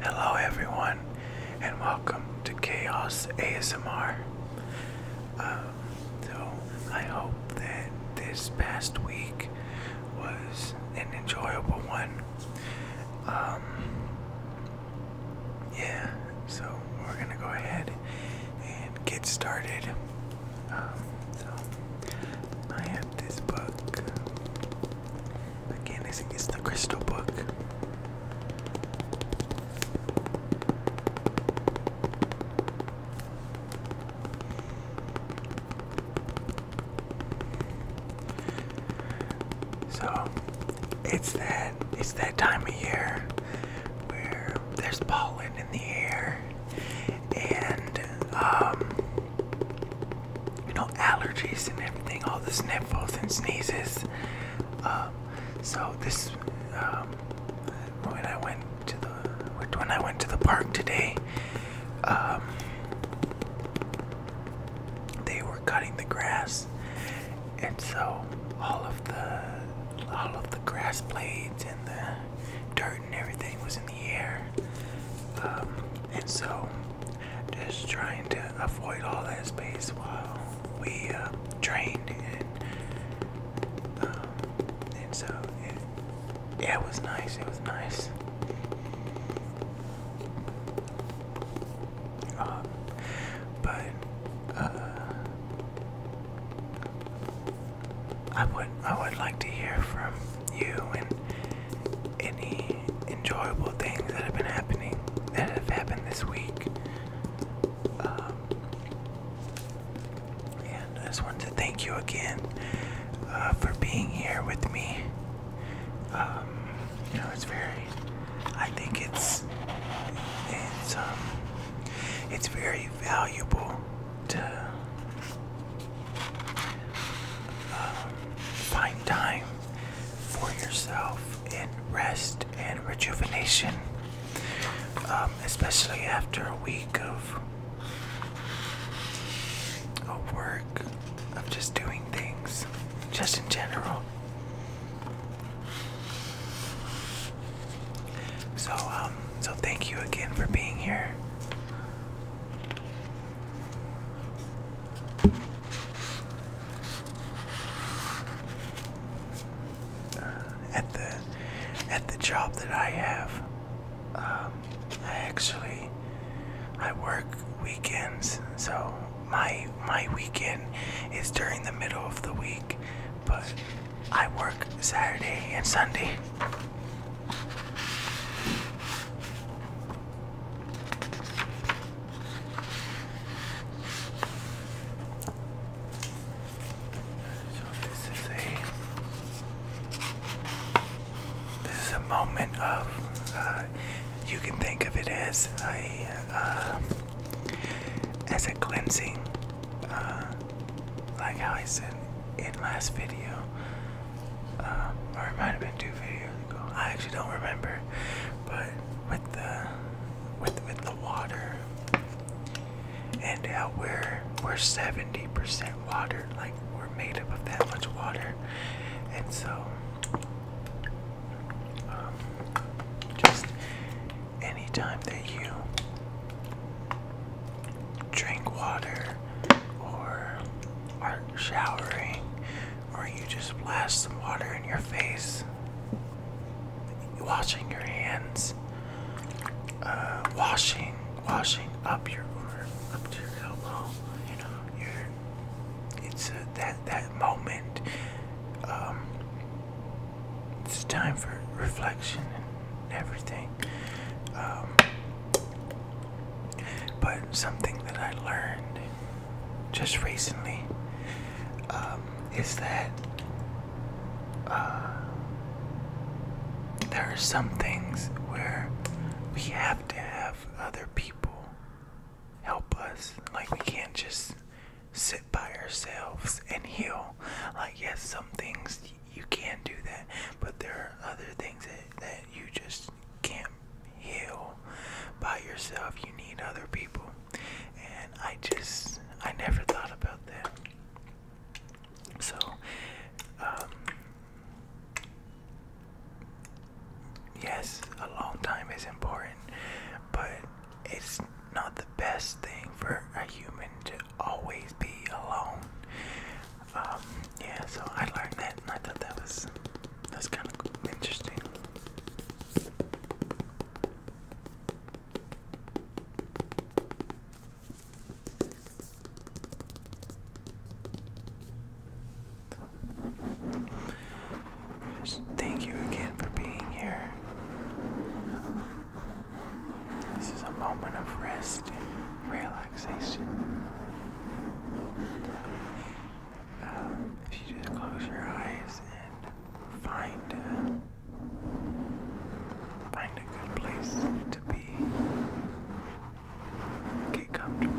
Hello, everyone, and welcome to Chaos ASMR. Um, so, I hope that this past week was an enjoyable one. Um, yeah, so we're gonna go ahead and get started. Um, so, I have this book. Again, it's, it's the crystal book. So it's that it's that time of year where there's pollen in the air and um you know, allergies and everything, all the sniffles and sneezes. Um, so this, um, when I went to the, when I went to the park today, um, they were cutting the grass, and so all of the, all of the grass blades and the dirt and everything was in the air, and so just trying to avoid all that space while we uh, trained and um, so it, yeah it was nice it was nice um, but uh, I would I would like to hear from you and any enjoyable things that have been happening that have happened this week. Um, and I just wanted to thank you again uh, for being here with me. Um, you know, it's very, I think it's, it's, um, it's very valuable to uh, find time for yourself in rest and rejuvenation, um, especially after a week of, of work, of just doing things, just in general. So, um, so thank you again for being here. Uh, at the at the job that I have, um, I actually I work weekends, so my my weekend is during the middle of the week, but I work Saturday and Sunday this is a moment of uh, you can think of it as a uh, as a cleansing, uh, like how I said in last video. Uh, or it might have been two videos ago. I actually don't remember, but with the with with the water and how we're we're seventy percent water, like we're made up of that much water, and so um, just anytime that you drink water or are showering or you just blast some water in your face, washing your hands, uh, washing, washing up your arm, up to your elbow. You know, it's that that moment. Um, it's time for reflection and everything. Um, but something that I learned just recently um, is that uh, there are some things where we have to have other people help us. Like, we can't just sit by ourselves and heal. Like, yes, some things you can do that, but there are other things that, that you just can't heal by yourself. You need other people. And I just, I never thought about that. So, um, yes, a long time is important, but it's not the best thing for a human to always be alone. Um, yeah, so I learned that and I thought that was that's kind of interesting. thank you again for being here. This is a moment of rest relaxation if you just close your eyes and find a, find a good place to be, get comfortable.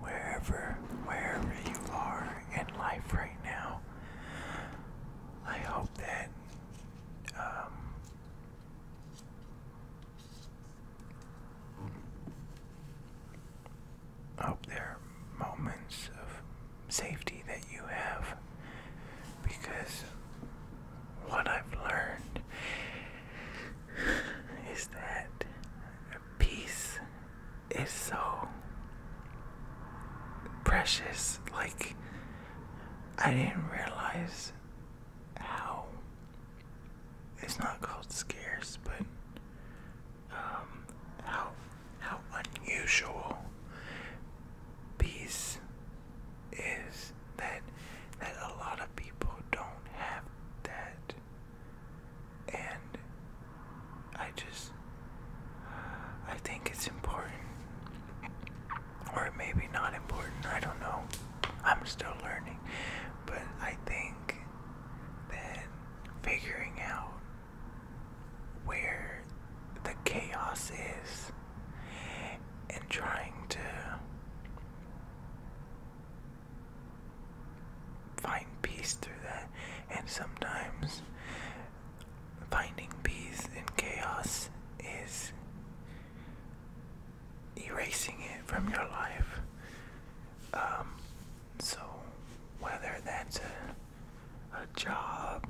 Wherever, wherever you are in life right now, I hope that um, hope there moments of safety that you have because what I've learned is that peace is so precious. Like, I didn't realize how it's not called scarce, but um, how how unusual peace is that that a lot of people don't have that and I just I think it's important or maybe not important I don't know I'm still learning but I think that figuring out where the chaos is and trying to find peace through that and sometimes finding peace in chaos is erasing it from your life um, so whether that's a a job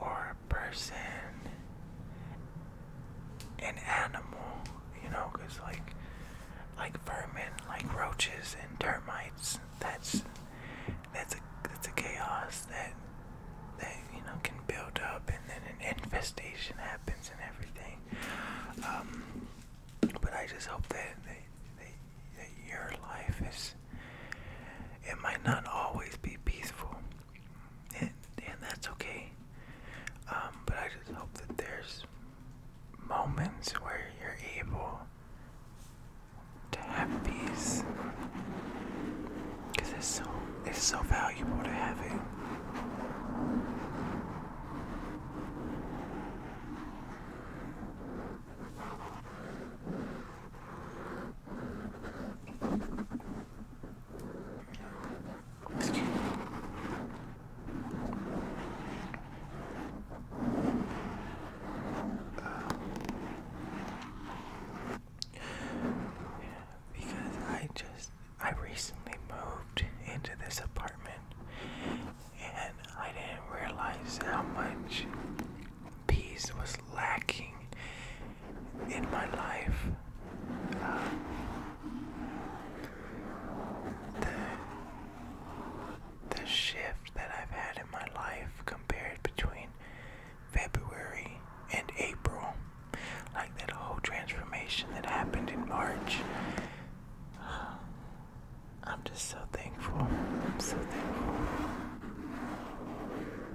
or a person, an animal, you know, because like, like vermin, like roaches and termites, that's, that's a, that's a chaos that, that, you know, can build up and then an infestation happens and everything. Um, but I just hope that, that, that your life is it might not always be peaceful, and, that's okay. Um, but I just hope that there's moments where you're able to have peace, because it's so it's so valuable to have it because I just I recently moved into this apartment and I didn't realize how much peace was lacking in my life. Uh, the, the shift that I've had in my life compared between February and April, like that whole transformation that happened in March. I'm just so thankful. I'm so thankful.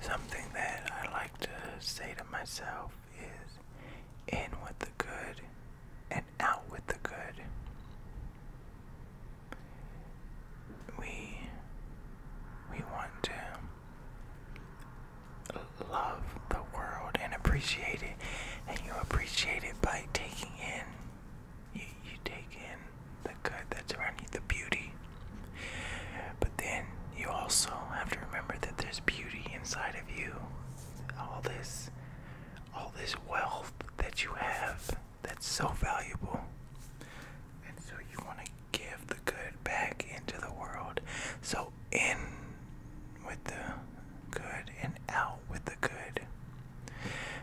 Something that I like to say to myself is in with the good and out with the good. We we want to love the world and appreciate it, and you appreciate it by taking in you, you take in the good that's around you, the beauty but then you also have to remember that there's beauty inside of you. All this all this wealth that you have that's so valuable. And so you want to give the good back into the world. So in with the good and out with the good.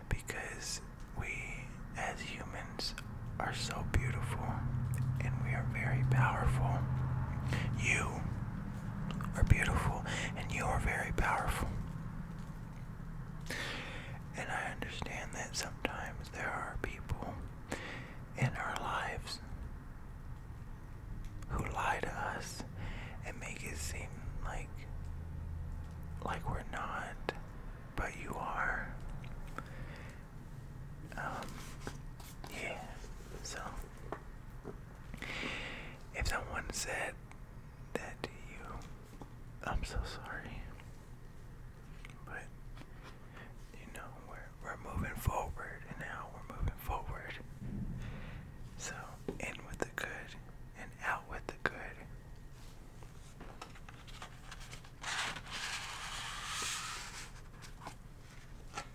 Because we as humans are so beautiful and we are very powerful. You are beautiful and you are very powerful. And I understand that sometimes there are people in our lives who lie to us and make it seem like like we're not, but you are. Um, yeah, so if someone said that to you, I'm so sorry. But you know, we're we're moving forward and now we're moving forward. So in with the good and out with the good.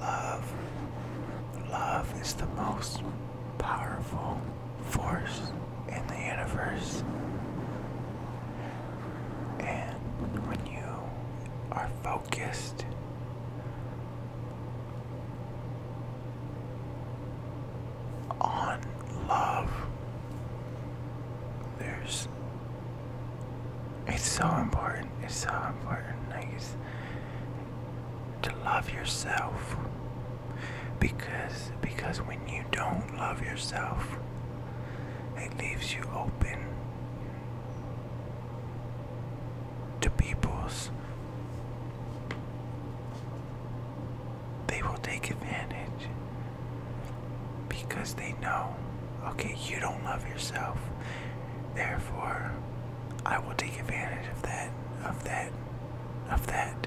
Love. Love is the most powerful force in the universe. And when you are focused, on love. There's. It's so important. It's so important to love yourself because because when you don't love yourself it leaves you open to people's they will take advantage because they know okay you don't love yourself therefore I will take advantage of that of that of that.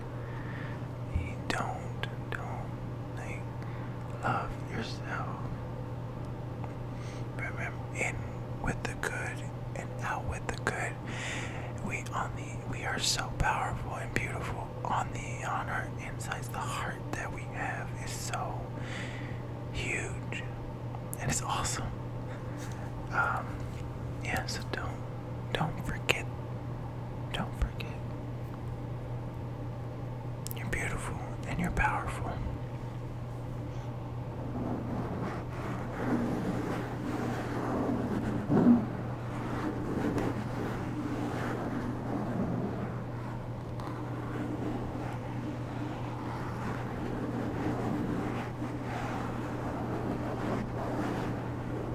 You don't, don't love yourself. Remember, in with the good and out with the good. We on we are so powerful and beautiful on the on our insides. The heart that we have is so huge, and it's awesome. Um, yeah, so do don't forget. Don't forget. You're beautiful and you're powerful.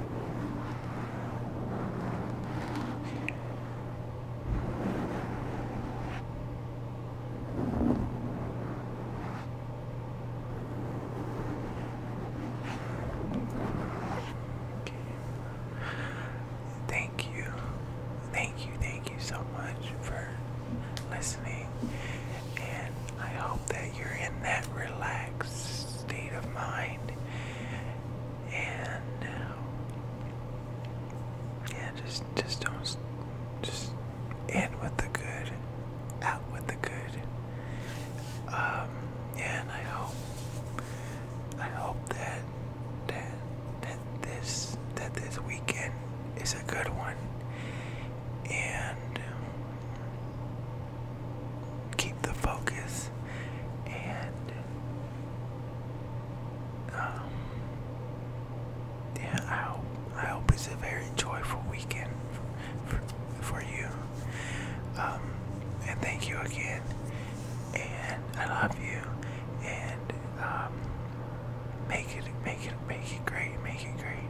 Okay. Thank you. Thank you. Thank you so much for listening. And I hope that you're in that relaxed state of mind and uh, yeah just just don't just in with the good out with the good um yeah and I hope I hope that that that this that this weekend is a good one and keep the focus and um, yeah I hope I hope it's a very joyful weekend for, for, you um, and thank you again and I love you and um, make it make it make it great make it great